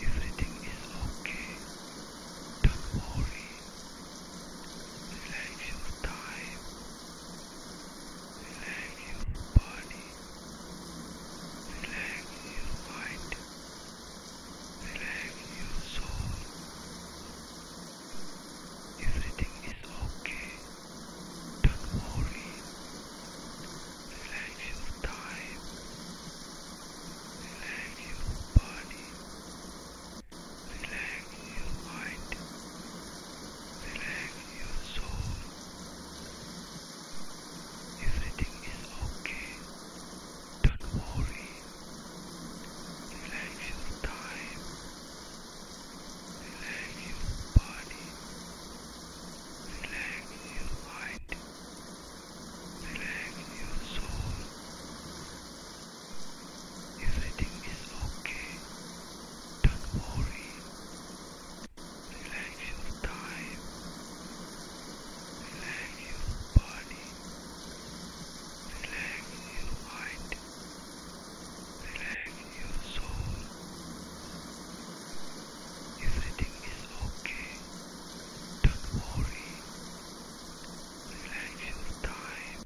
Everything is okay. Don't worry. Relax your time. Relax your body. Relax your mind. Relax your soul. Everything is okay. Don't worry relax your time, relax your body, relax your mind, relax your soul. Everything is okay. Don't worry. Relax your time. Relax your body. Relax relax your mind, relax your soul. Everything is okay, don't worry. Relax your time, relax your body, relax your mind, relax your soul. Everything is okay. Don't worry. Relax your time.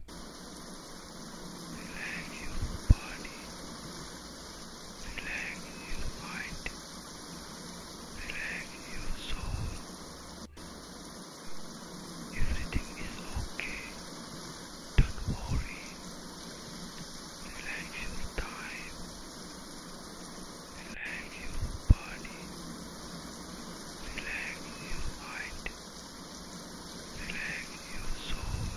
Relax your body. Relax your mind. Relax your soul. Everything is okay. Don't worry. Relax your time. Relax your body. Relax your mind. Relax your soul.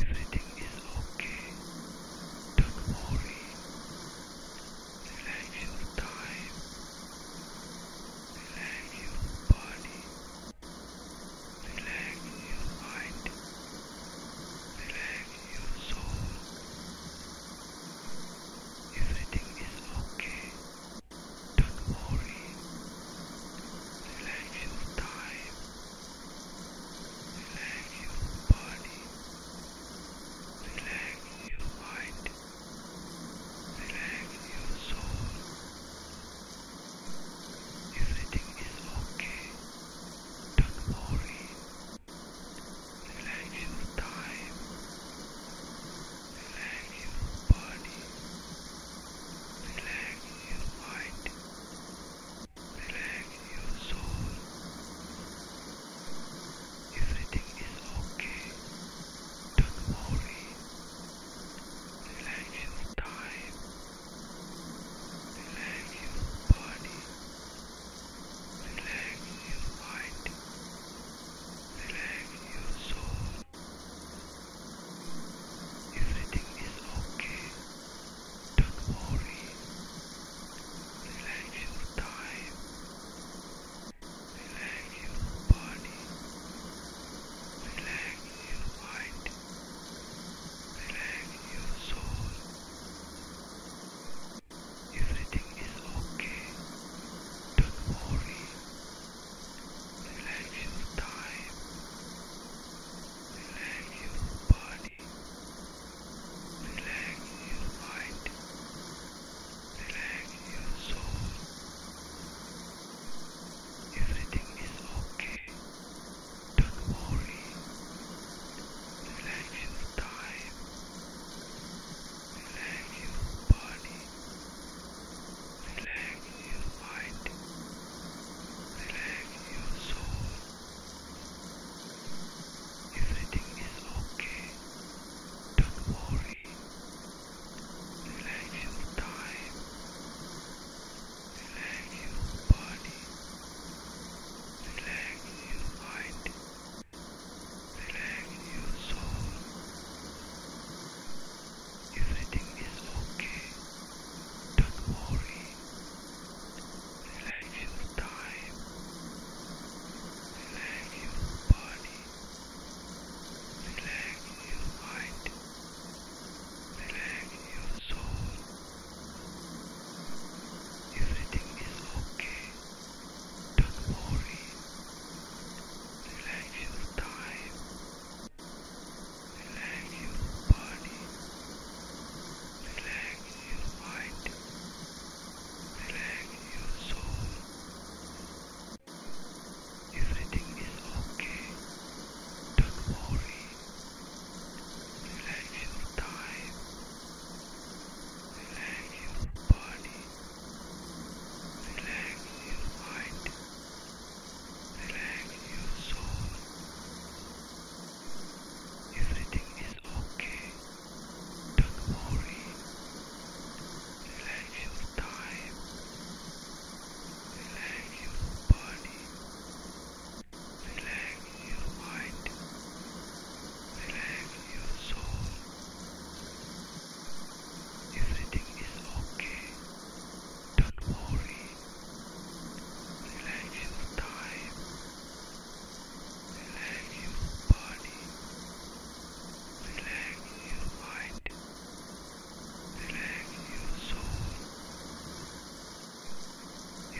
Everything is okay. Don't worry. Relax your time. Relax your body. Relax your mind. Relax your soul. Everything is okay. Don't worry. Relax your time. Relax your body. Relax your mind. Relax your soul. Everything is okay. Don't worry. Relax your time. Relax your body. Relax your mind. Relax your soul. Everything is okay. Don't worry relax your time, relax your body, relax your mind, relax your soul. Everything is okay. Don't worry. Relax your time. Relax your body. Relax your mind. Relax your soul. Everything is okay. Don't worry. Relax your time. Relax your body. Relax your mind. Relax your soul. Everything is okay. Don't worry. Relax your time. Relax your body. Relax your mind. Relax your soul. Everything is okay. Don't worry. Relax your time. Relax your body. Relax your mind. Relax your soul. Everything is okay. Don't worry. Relax your time. Relax your body. Relax your mind. Relax your soul. Everything is okay. Don't worry. Relax your time. Relax your body. Relax your mind. Relax your soul. Everything is okay. Don't worry. Relax your time. Relax your body. Relax your mind. Relax your soul. Everything is okay. Don't worry. Relax your time. Relax your body. Relax your mind. Relax your soul. Everything is okay. Don't worry. Relax your time. Relax your body. Relax Relax your mind. Relax your soul.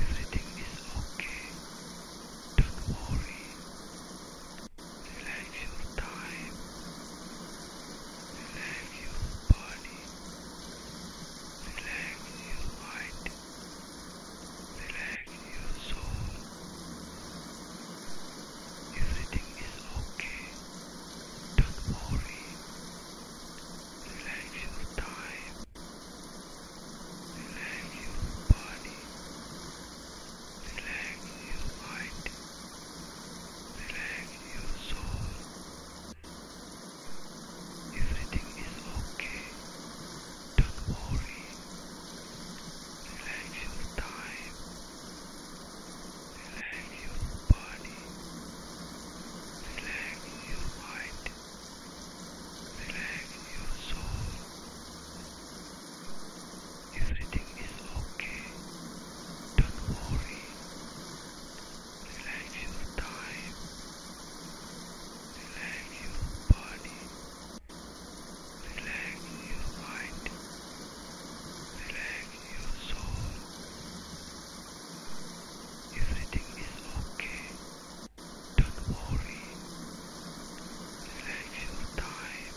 Everything is okay. Don't worry. Relax your time. Relax your body. Relax your mind. Relax your soul. Everything is okay. Don't worry. Relax your time. Relax your body. Relax your mind. Relax your soul. Everything is okay. Don't worry. Relax your time. Relax your body. Relax your mind. Relax your soul. Everything is okay. Don't worry. Relax your time. Relax your body. Relax your mind. Relax your soul. Everything is okay. Don't worry. Relax your time.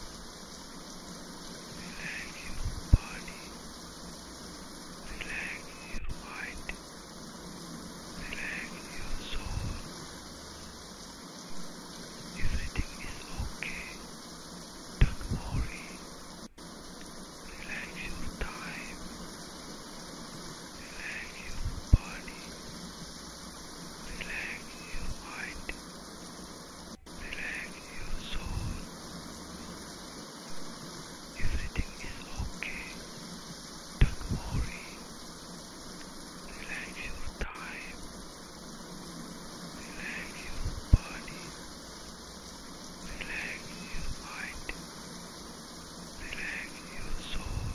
Relax your body. Relax your mind. Relax your soul. Everything is okay. Don't worry. Relax your time. Relax your body. Relax your mind. Relax your soul. Everything is okay. Don't worry. Relax your time. Relax your body. Relax your mind. Relax your soul.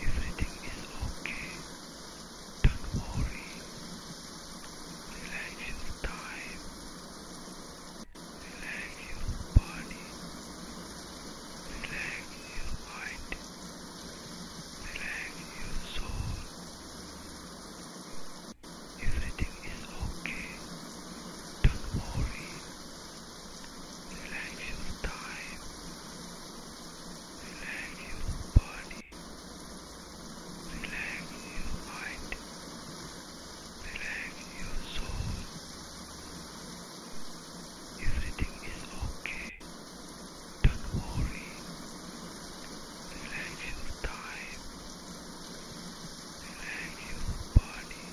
Everything is okay. Don't worry. Relax your time. Relax your body. Relax your mind. Relax your soul. Everything is okay. Don't worry. Relax your time. Relax your body. Relax your mind. Relax your soul. Everything is okay. Don't worry. Relax your time. Relax your body.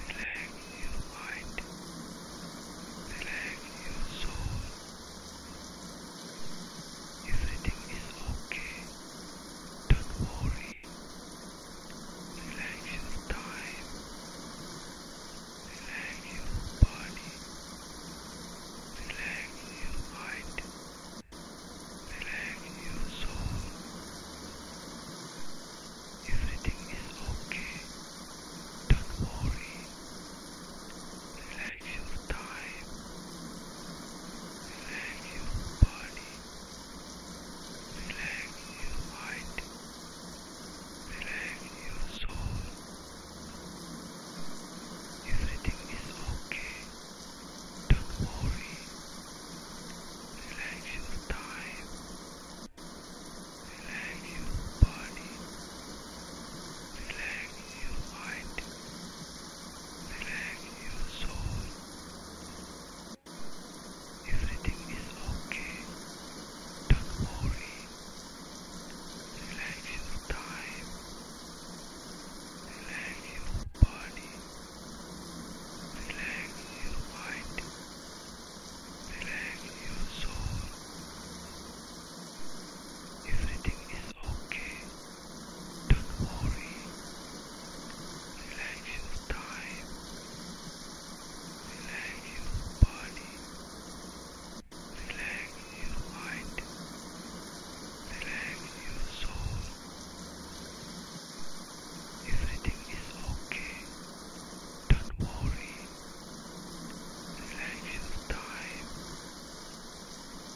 Relax your mind. Relax your soul. Everything is okay. Don't worry. Relax your time. Relax your body. Relax your mind. Relax your soul. Everything is okay. Don't worry. Relax your time. Relax your body. Relax your mind. Relax your soul. Everything is okay. Don't worry. Relax your time. Relax your body. Relax your mind. Relax your soul. Everything is okay. Don't worry. Relax your time. Relax your body. Relax your mind. Relax your soul. Everything is okay. Don't worry. Relax your time. Relax your body. Relax your mind. Relax your soul. Everything is okay. Don't worry. Relax your time.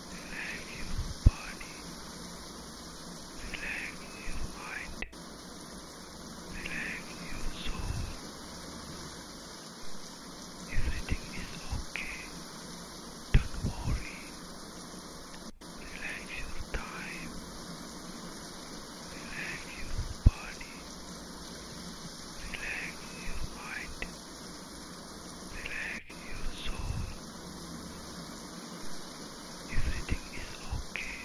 Relax your body. Relax Relax your mind. Relax your soul. Everything is okay. Don't worry. Relax your time. Relax your body. Relax your mind. Relax in your soul. Everything is okay.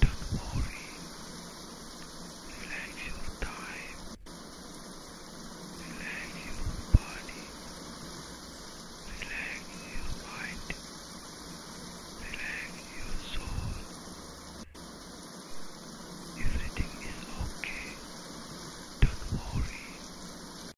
Don't worry. Relax your time. Relax your body. Relax your mind. Relax your soul. Everything is okay. Don't worry.